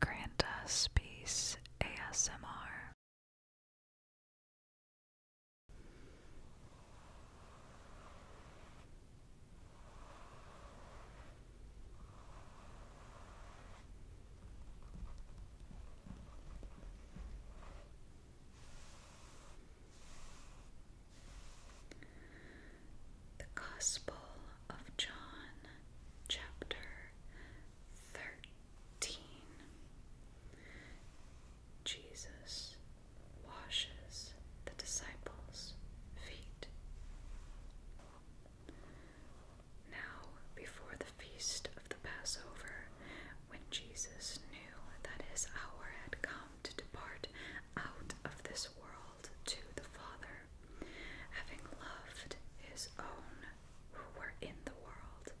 Grant us peace ASMR. The Gospel of John, chapter 13. Jesus washes the disciples' feet. Now, before the feast of the Passover, when Jesus knew that his hour had come to depart out of this world to the Father, Having loved his own who were in the world,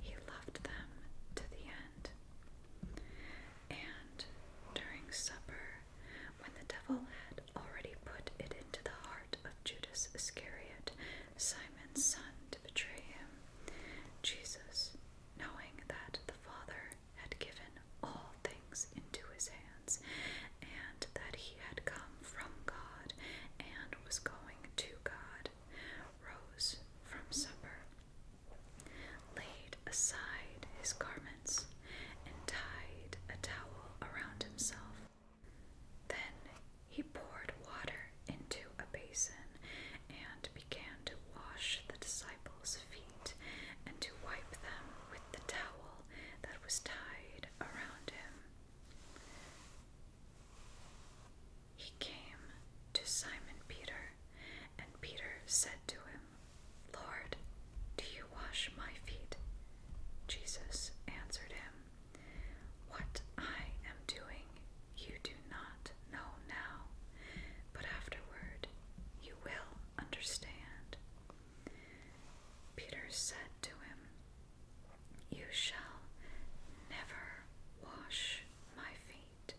he loved them to the end. And during supper, when the devil had already put it into the heart of Judas Iscariot, Simon's son, to betray him, Jesus, knowing that the Father had given all things into his hands, and that he had come from God and was going to God, rose from supper, laid aside his garments, and tied a towel around himself. Then he poured water into a basin and began to wash the disciples' feet and to wipe them with the towel that was tied around him. He came to Simon Peter, and Peter said to him, Lord, do you wash my feet? Jesus answered him, What I am doing you do not know now, but afterward you will understand. Peter said to him, you shall never wash my feet.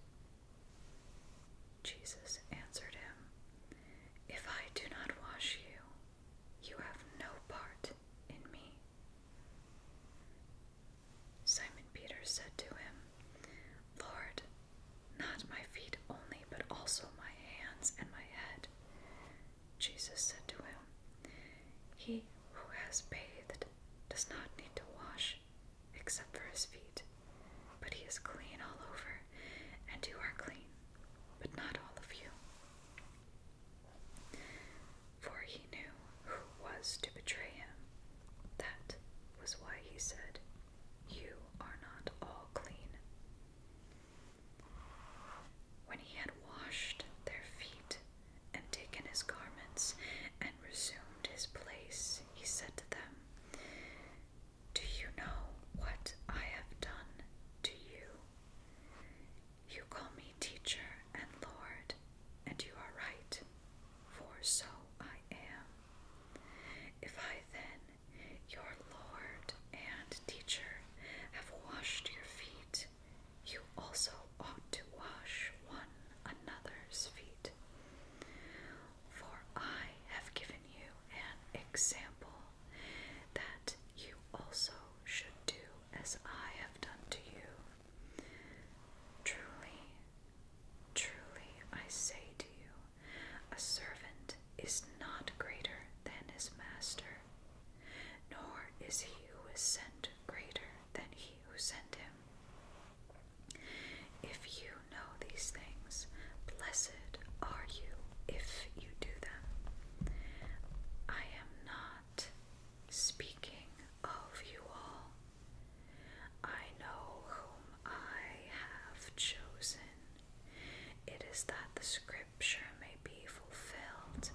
Jesus answered him, If I do not wash you, you have no part in me. Simon Peter said to him, Lord, not my feet only, but also my hands and my head. Jesus said to him, He who has bathed does not need to wash except for his feet, but he is clean all over, and you are clean, but not all of you. For he knew who was to betray him. That was why he said, You are not all clean. When he had washed their feet and taken his garments and resumed his place, he said to them, Do you know what I have done to you? You call me teacher and Lord, and you are right, for so I am. If I then, your Lord and teacher, have washed your feet, you also ought to wash one another's feet. For I have given you an example that you also should do as I have done to you. Truly, truly, I say to you, a servant is not greater than his master, nor is he who is sent greater than he who sent him. If you know these things, blessed are you if you do them. I am not speaking of you all. I know whom I have chosen. It is that the scripture scripture may be fulfilled.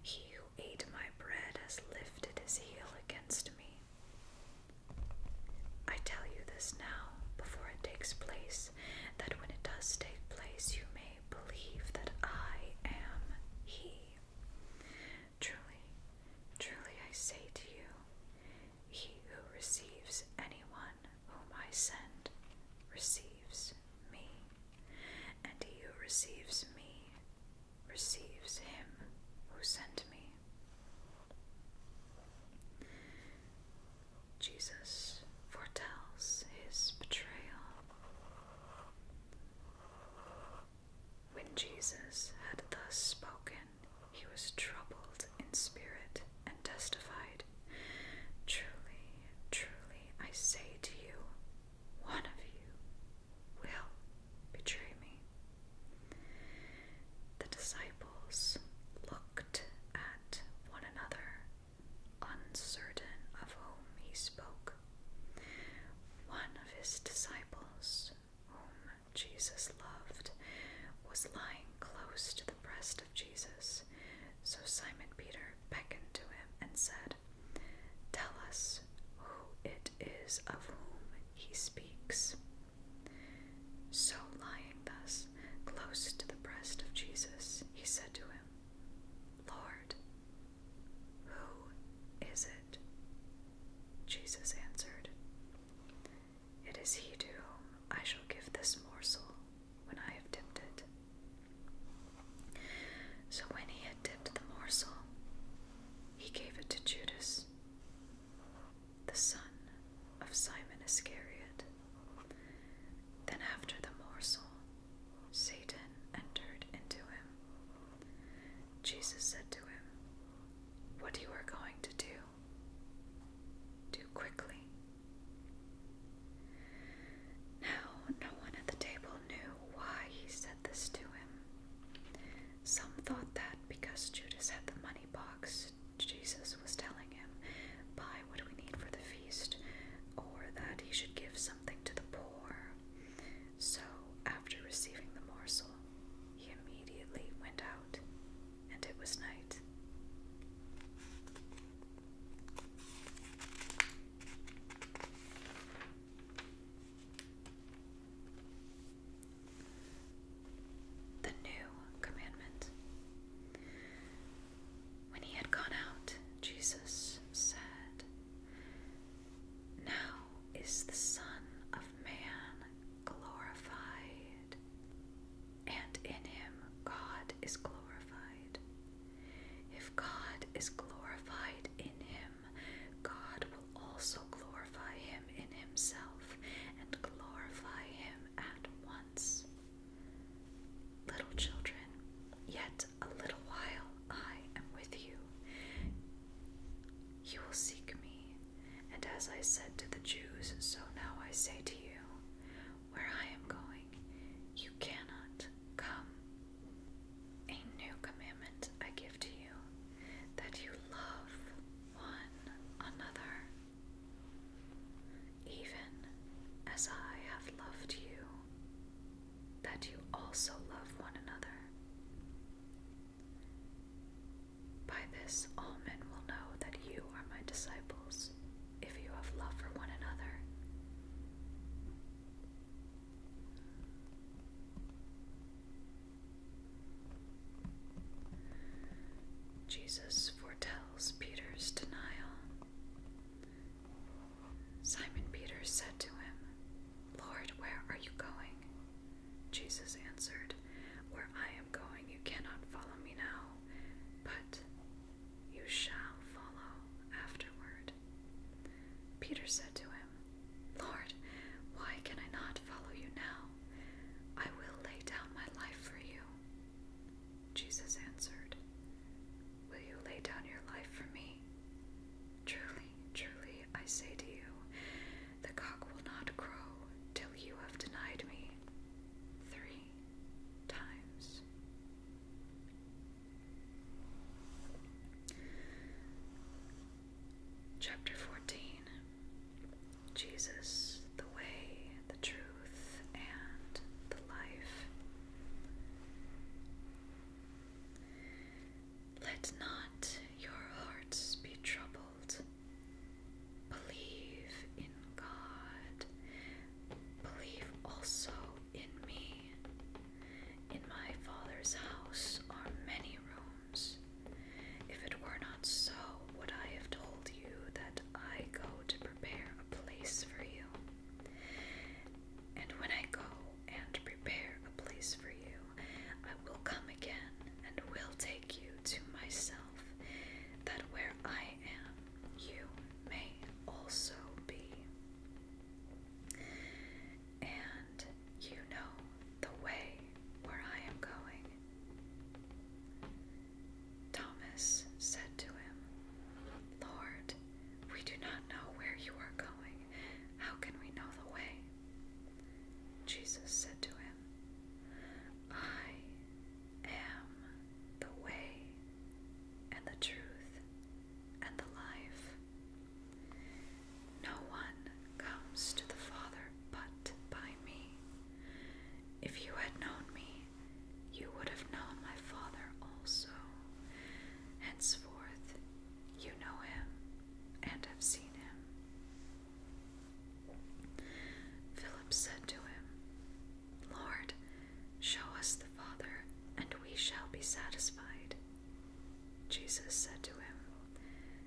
He who ate my bread has lifted his heel against me. I tell you this now, before it takes place, that when it does take place, you may believe that I am He. Truly, truly I say to you, he who receives anyone whom I send receives me, and he who receives me receives him who sent me. Jesus foretells his betrayal. When Jesus had thus spoken, he was troubled in spirit and testified, Truly, truly, I say to you, one of you will betray me. The disciples looked at one another, uncertain of whom he spoke. One of his disciples, whom Jesus loved, was lying close to the breast of Jesus. So Simon Peter beckoned to him and said, Tell us who it is of whom he speaks. So, lying thus close to the breast of Jesus, he said to him, Lord, who is it? Jesus answered, It is he to whom I shall give this morsel when I have dipped it. So when he had dipped the morsel, he gave it to Judas, the son of Simon Iscariot. Then, after the morsel, Satan entered into him. Jesus said to him, What you are going to do, do quickly. Now, no one at the table knew why he said this to him. Some thought that because Judas had the money box, Jesus was telling him, Buy what we need for the feast, or that he should give something to the poor. So, after receiving the morsel, he immediately went out, and it was night. The new commandment. When he had gone out, Jesus said, Now is the Son of Man glorified, and in him God is glorified. If God is glorified in him, God will also glorify him in himself and glorify him at once. Little children, yet a little while I am with you. You will seek me, and as I said to the Jews, so now I say to you, where I am going, you cannot Come, a new commandment I give to you, that you love one another. Even as I have loved you, that you also love one another. By this, all men will know that you are my disciples, if you have love for one another. Jesus foretells Peter's denial. Simon Peter said to him, Lord, where are you going? Jesus answered, Where I am going, you cannot follow me now, but you shall follow afterward. Peter said to him, Lord, why can I not follow you now? I will lay down my life for you. Jesus answered, Will you lay down your life for me? Truly, truly, I say to you, the cock will not crow till you have denied me three times. Chapter 14 Jesus, the Way, the Truth, and the Life. Let not your hearts be troubled. Believe in God. Believe also in me. In my Father's house are many rooms. If it were not so, would I have told you that I go to prepare a place for you? And when I go and prepare a place for you, I will come again and will take you to myself, that where I am, you may also be. And you know the way where I am going. Thomas said to him, Lord, we do not know where you are going. How can we know the way? Jesus said to him, I am the way and the truth and the life. No one comes to the Father but by me. If you had known me, you would have known my Father also. Henceforth, you know him and have seen him. Philip said to him, Lord, Show us the Father, and we shall be satisfied. Jesus said to him,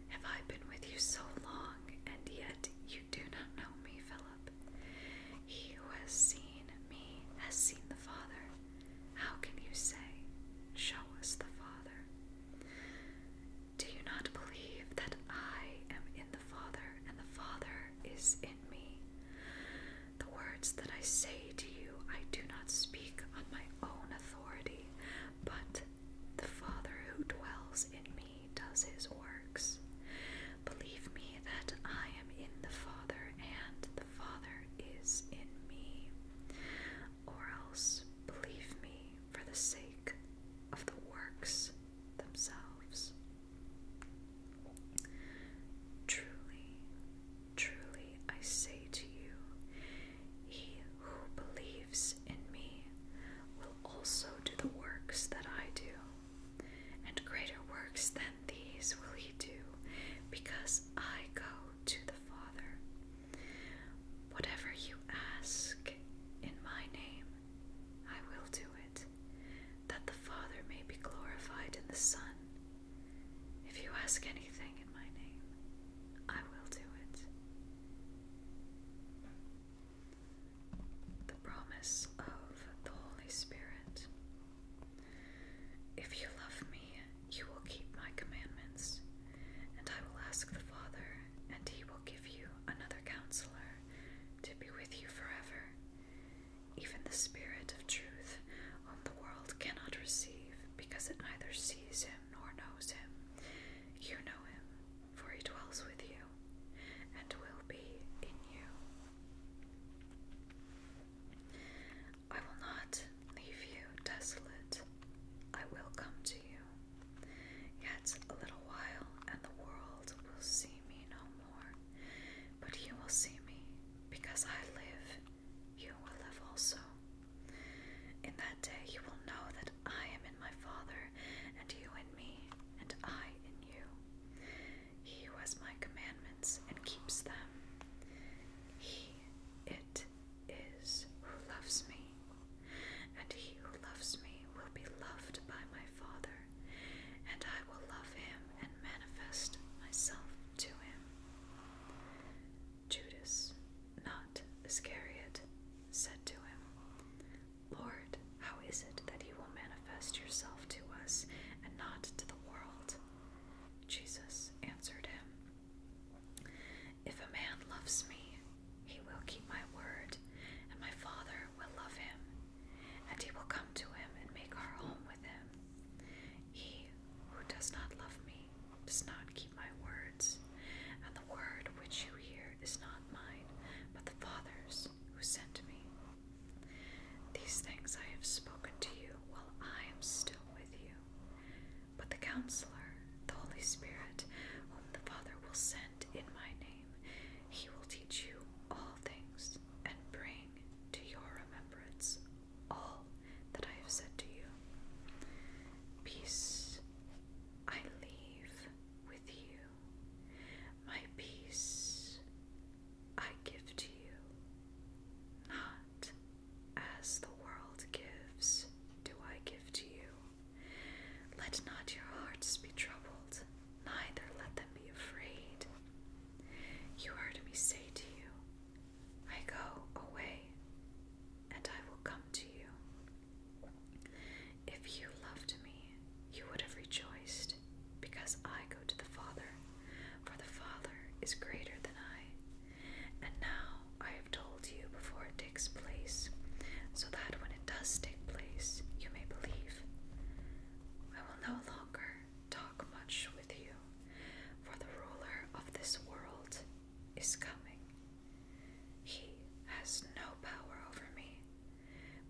Have I been with you so long, and yet you do not know me, Philip? He who has seen me has seen the Father. How can you say, Show us the Father? Do you not believe that I am in the Father, and the Father is in me? The words that I say to you, I do not speak on my own authority, but the Father who dwells in me does his works. Believe me that I am in the Father, and the Father is in me. Or else, believe me for the sake of the works themselves. Truly, Truly I say to you, he who believes in me will also do the works that I do, and greater works than these will he do, because I go to the Father. Whatever you ask in my name, I will do it, that the Father may be glorified in the Son. If you ask anything in my name, I will do it. The promise of the Holy Spirit. If you love me, you will keep my commandments, and I will ask the Father, and he will give you another counselor to be with you forever, even the Spirit of truth, whom the world cannot receive, because it neither sees him nor knows him, you know him, for he dwells with you and will be in you. I will not leave you desolate. I will come to you. Yet a little while, and the world will see me no more. But you will see me, because I live, you will live also. In that day you will know that I am in my Father, and you in me, and I in you. He who has my commandments and keeps them, he it is who loves me, and he who loves me will be loved by my Father, and I will love him and manifest myself to him. Judas, not Iscariot, said to him, Lord, how is it that you will manifest yourself to us and not to the world? Jesus answered him, If a man loves me, he will keep my word, and my Father will love him, and he will come to him and make our home with him. He who does not love me does not keep my words, and the word which you hear is not mine, but the Father's who sent me. These things I have spoken to you while I am still with you. But the Counselor, the Holy Spirit, whom the Father will send in my name, he will teach you all things and bring to your remembrance all that I have said to you. Peace I leave with you, my peace I give to you, not as the world gives, do I give to you. Let not your hearts be troubled, neither let them be afraid. You heard me say to you, I go away, and I will come to you. If you loved me, you would have rejoiced, because I go to the Father, for the Father is greater than I. And now I have told you before it takes place, so that when it does take place, you may believe. I will no longer talk much with you, for the ruler of this world is coming. He has no power over me,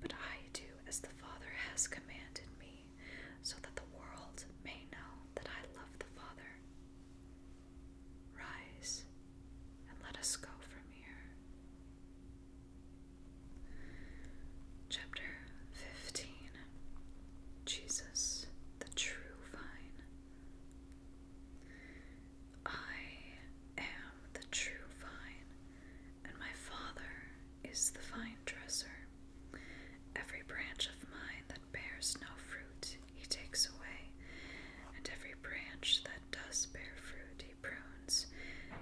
but I do as the Father has commanded me, so that the world may know that I love the Father. Rise and let us go from here. Chapter 15 Jesus, the True I am the true vine, and my Father is the vine dresser. Every branch of mine that bears no fruit he takes away, and every branch that does bear fruit he prunes,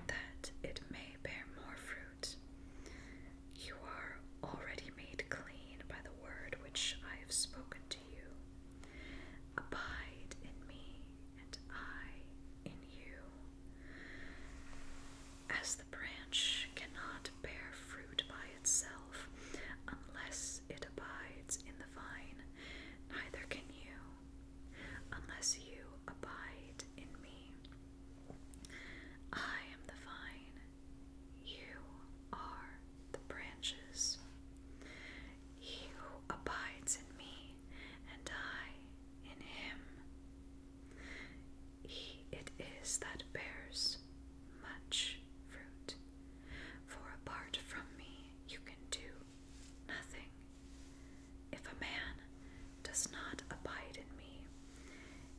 that it may bear more fruit. You are already made clean by the word which I have spoken to you. Abide in me, and I in you. As the branch cannot bear fruit by itself unless it abides in the vine, neither can you unless you abide in me. I am the vine, you are the branches. He who abides in me and I in him. He it is that bears much fruit, for apart from me you can do nothing. If a man does not abide in me,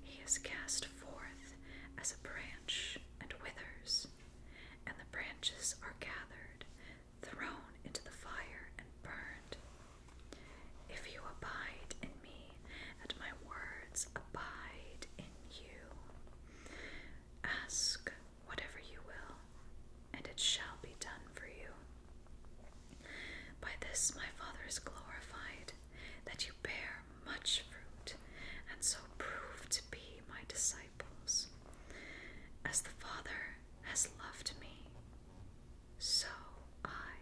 he is cast forth as a branch and withers, and the branches are gathered, thrown into the fire, and burned. If you abide in me, and my words abide in you, ask whatever you will, and it shall be done for you. By this my Father is glorified, that you bear much fruit, and so prove to be my disciples. As the Father has loved me, so I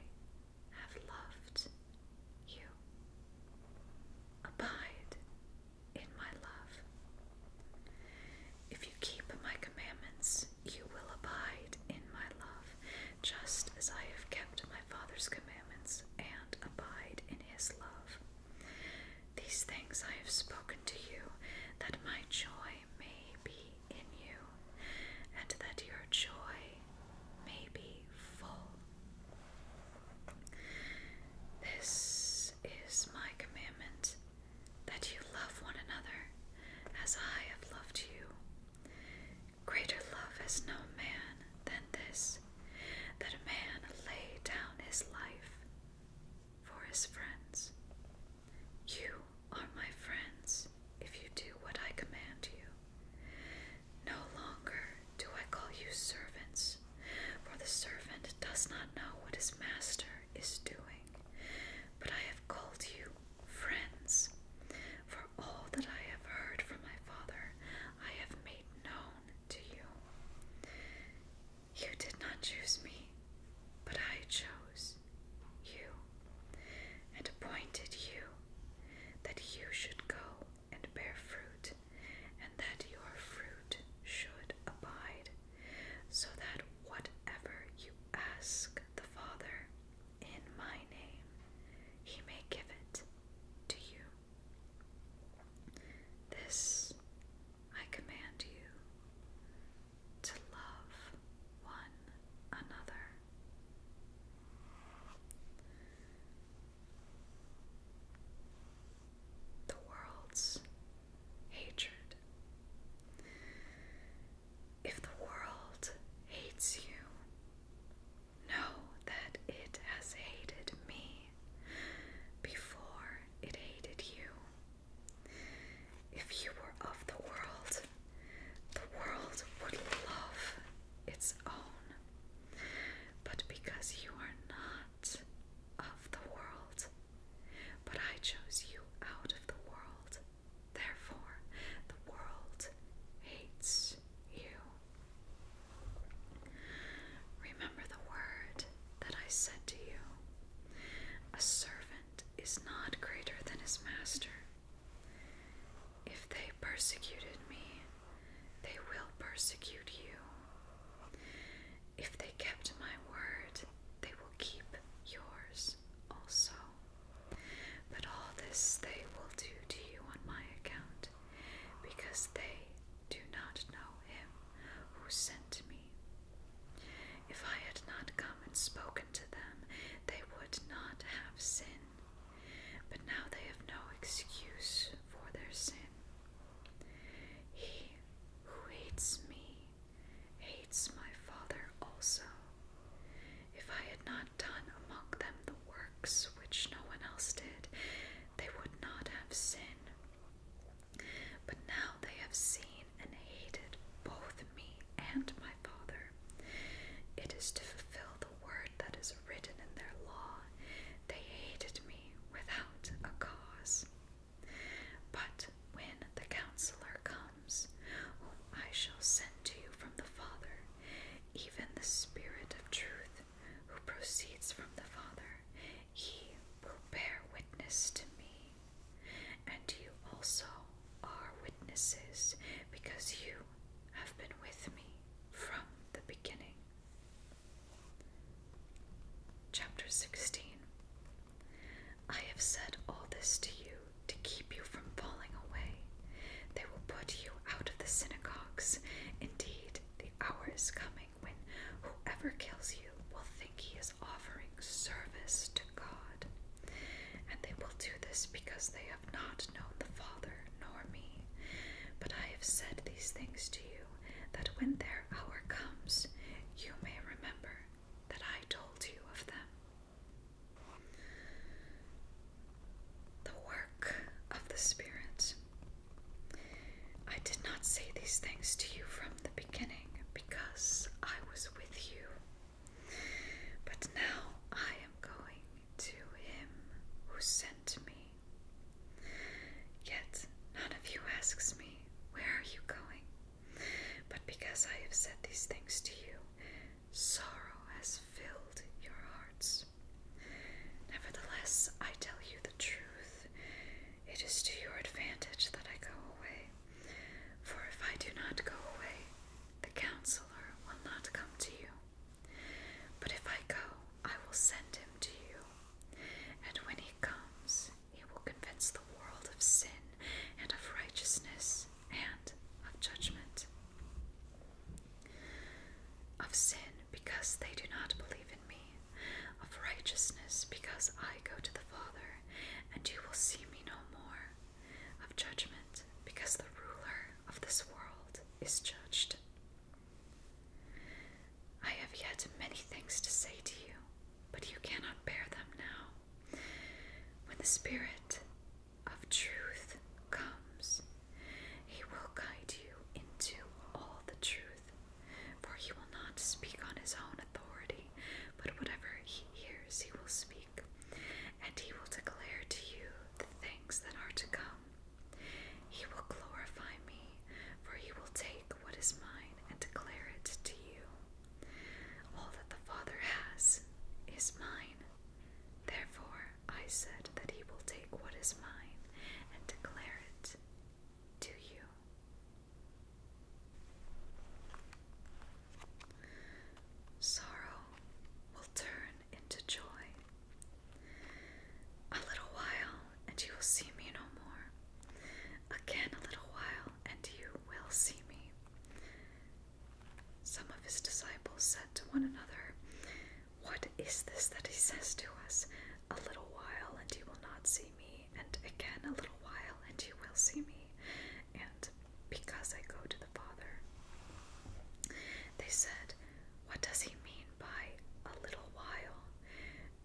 have loved you. Abide in my love. If you keep my commandments, you will abide in my love, just as I have kept my Father's commandments and abide in his love. These things I have spoken to you, that my joy may be in you, and that your joy may be full. This is my commandment that you love one another as I have loved you. Greater love has no man than this, that a man lay down his life for his friends. You are my friends if you do what I command you. No longer do I call you servants, for the servant does not know what his master is doing, but I have called you friends. For all that I have heard from my Father, I have made known to you. You did not choose me, but I chose you and appointed you that you should go and bear fruit, and that your fruit should abide, so that whatever you ask the Father in my name, he may give it to you. This I command you to love one another. The world's hatred. If the world hates you, Know that it has hated me before it hated you. If you were of the world, the world would love its own. But because you are not of the world, but I chose you out of the world, therefore the world hates you. Remember the word that I said to you A servant is not greater than his master. If they persecuted me, they will persecute you. If they kept my word, they will keep yours also. But all this they will do to you on my account, because they do not know him who sent me. If I had not come and spoken to them, they would not have sin. But now they have no excuse for their sin. He who hates me hates my Father also. If I had not done among them the works which no one else did, they would not have sin. But now they have seen and hated both me and my Father. It is to fulfill the word that is written in their law. They hated me without a cause. But when the counselor comes, whom I shall send to you from the Father, even the Spirit of truth, who proceeds from the Father, he will bear witness to me. And you also are witnesses, because you have been with me from the beginning. Chapter 16 I have said all this to you to keep you from falling away. They will put you out of the synagogues. Indeed, the hour is coming when whoever kills you will think he is offering service to God. And they will do this because they have not known the Father nor me. But I have said these things to you, that when their hour comes, you may remember that I told you of them. The work of the Spirit. I did not say these things to you from the beginning because I was with you. But now I am going to him who sent me. Yet none of you asks me, Where are you going? But because I have said these things to you, sorrow has filled your hearts. Nevertheless, I tell you the truth. It is to your advantage that I go away. For if I do not go away, the counselor will not come to you. But if I go, I will send him to you. And when he comes, he will convince the world of sin and of righteousness and of judgment. Of sin because they do not believe in me, of righteousness, because I go to the Father, and you will see me no more, of judgment, because the ruler of this world is judged. I have yet many things to say to you, but you cannot bear them now. When the Spirit of truth comes, he will guide you into all the truth, for he will not speak on his own authority, but whatever he hears, he will speak, and he will declare to you the things that are to come. He will glorify me, for he will take what is mine and declare it to you. All that the Father has is mine. Therefore, I said that he will take what is mine and declare it it to you. Sorrow will turn into joy. A little while, and you will see me no more. Again, a little while, and you will see me. Some of his disciples said to one another, what is this that he says to us? A little while, and you will not see me, and again a little while, and you will see me. And because I go to the Father. They said, What does he mean by a little while?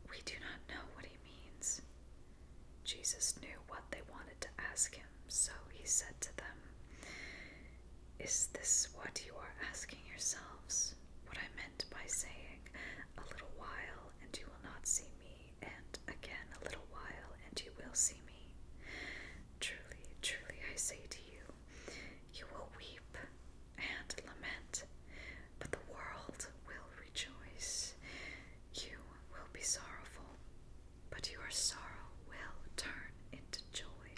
We do not know what he means. Jesus knew what they wanted to ask him, so he said to them, Is this what you are asking yourselves? what I meant by saying, A little while, and you will not see me, and again a little while, and you will see me. Truly, truly, I say to you, you will weep and lament, but the world will rejoice. You will be sorrowful, but your sorrow will turn into joy.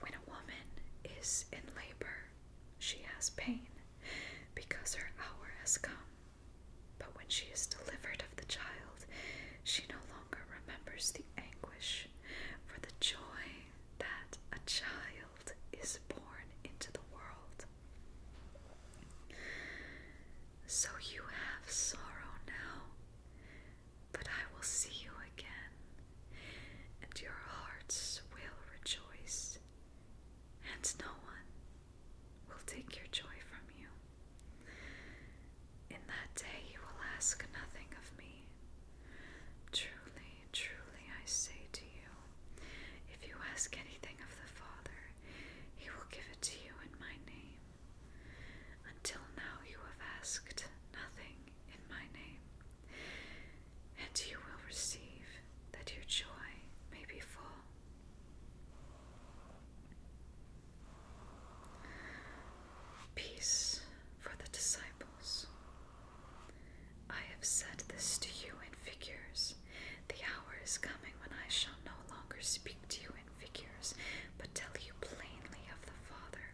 When a woman is in labor, she has pain because her hour has come. But when she is delivered of the child, she no longer remembers the anguish for the joy that a child is born into the world. So you have sorrow now, but I will see you again and your hearts will rejoice, and no one will take your joy from you. In that day you will ask nothing of me. Truly, truly, I say to you, if you ask anything of the Father, he will give it to you in my name. Until now you have asked nothing in my name and you will receive that your joy may be full. Peace for the disciples. I have said this to you in figures. The hour is coming when I shall no longer speak to you in figures, but tell you plainly of the Father.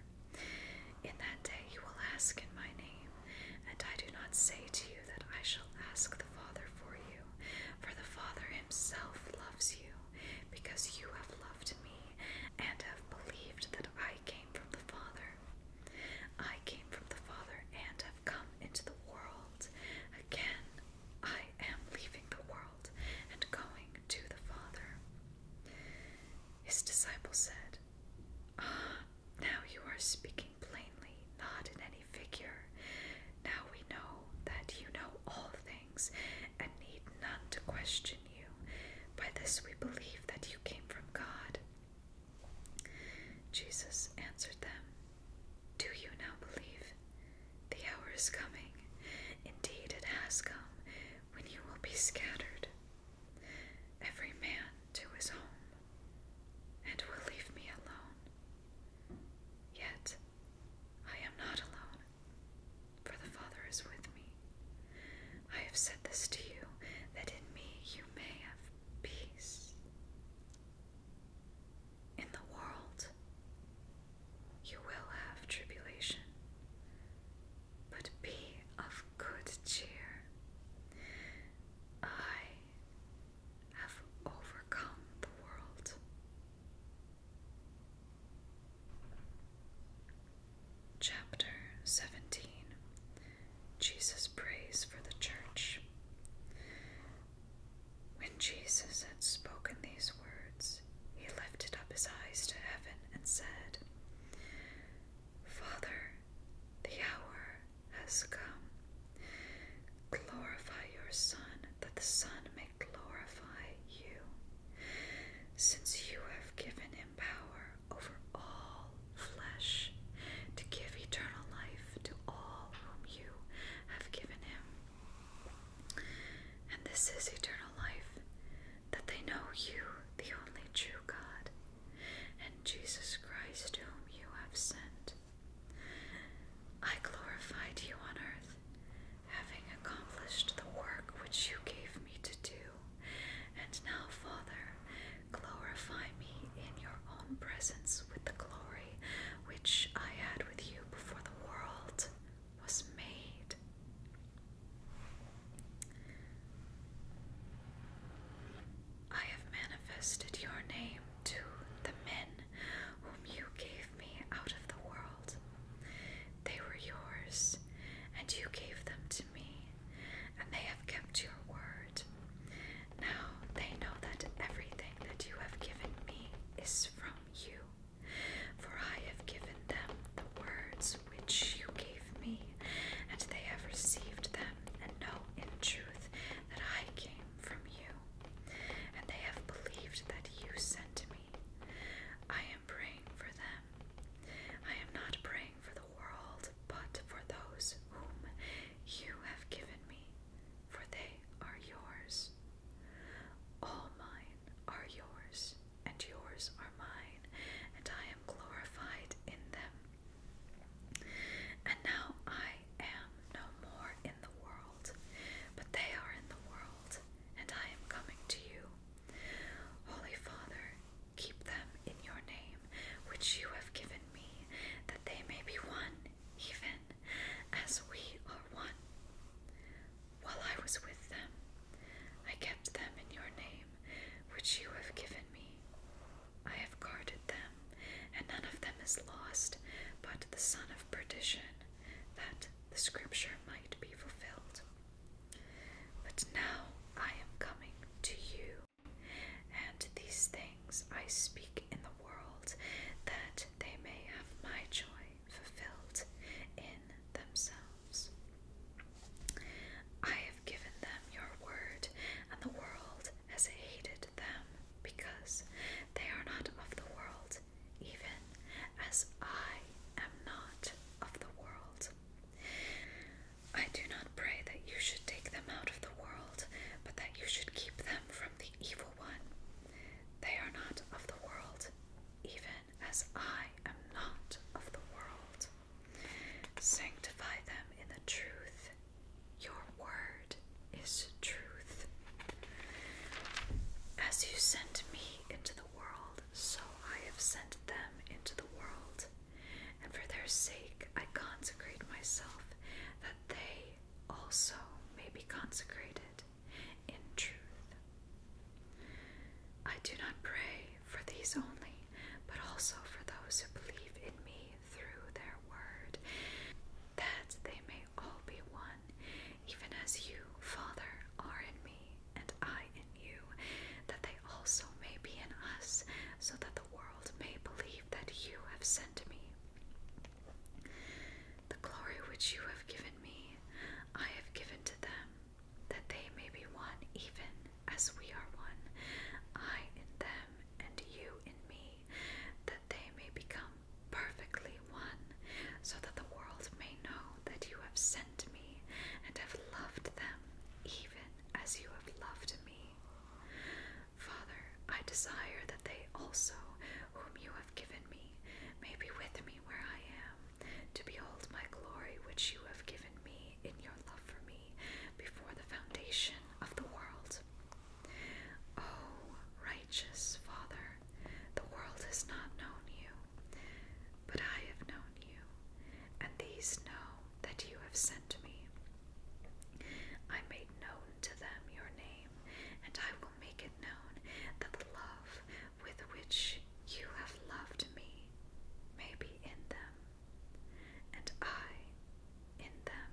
In that day you will ask in my name, and I do not say to you that I shall ask the Father for you, for the Father himself loves you, because you have loved me and have believed that I came from the Father. I came from the Father and have come into the world. Again, I am leaving the world and going to the Father. His disciples said, Ah, now you are speaking plainly, not in any figure. Now we know that you know all things and need none to question you. By this we believe that you came from God. Jesus answered them, Do you now believe? The hour is coming, indeed it has come, when you will be scattered, every man to his home, and will leave me alone. Yet I am not alone, for the Father is with me. I have said this to you, that in me you may have peace. In the world, you will have tribulation, but be of good cheer. I have overcome the world. Chapter 17 Jesus prays for the church. When Jesus had spoken these words, he lifted up his eyes to heaven and said, Father, the hour has come. Glorify your Son, that the Son may glorify you, since you have given him power over all flesh to give eternal life to all whom you have given him. And this is eternal life, that they know you, the only true God, and Jesus Christ, whom you have sent. I glorified you on earth, having accomplished the work which you gave me to do. And now, Father, glorify me in your own presence with the glory which I had with you before the world was made. I have manifested your name to the men whom you gave me out of the world. They were yours, and you gave them to me, and they have kept your word. Now they know that everything that you have given me is from you, for I have given them the words which you gave me, and they have received them, and know in truth that I came from you, and they have believed that you sent me. I am praying for them. I am not praying for the world, but for those whom you have given me, for they are yours. All mine are yours, and yours are mine, and I am glorified in them. And now I am no more in the world, but they are in the world, and I am coming to you. Holy Father, keep them in your name, which you have given me, that they may be one, even as we are one. While I was with them, I kept them in your name, which you have given me. I have guarded them, and none of them is lost, but the son of perdition, that the scripture might be fulfilled. But now I am coming to you, and these things I speak in the world, that they may have my joy fulfilled in themselves. I given them your word, and the world has hated them, because they are not of the world, even as I am not of the world. I do not pray that you should take them out of the world, but that you should keep them from the evil one. They are not of the world, even as I am not of the world. Sanctify them in the truth. Your word is truth. As you sent me into the world, so I have sent them into the world. And for their sake I consecrate myself, that they also may be consecrated in truth. I do not pray for these only, but also for those who believe in me through their word, that they may all be one, even as you, Father, are in me, and I in you, that they also may be in us, so that the world may believe that you have sent me. The glory which you have given me, I have given to them, that they may be one even as we are one, I in them, and you in me, that they may become perfectly one, so that the world may know that you have sent me and have loved them, even as you have loved me. Father, I desire that they also, whom you have given me, may be with me where I am, to behold my glory which you have given me me in your love for me before the foundation of the world. Oh, righteous Father, the world has not known you, but I have known you, and these know that you have sent me. I made known to them your name, and I will make it known that the love with which you have loved me may be in them, and I in them.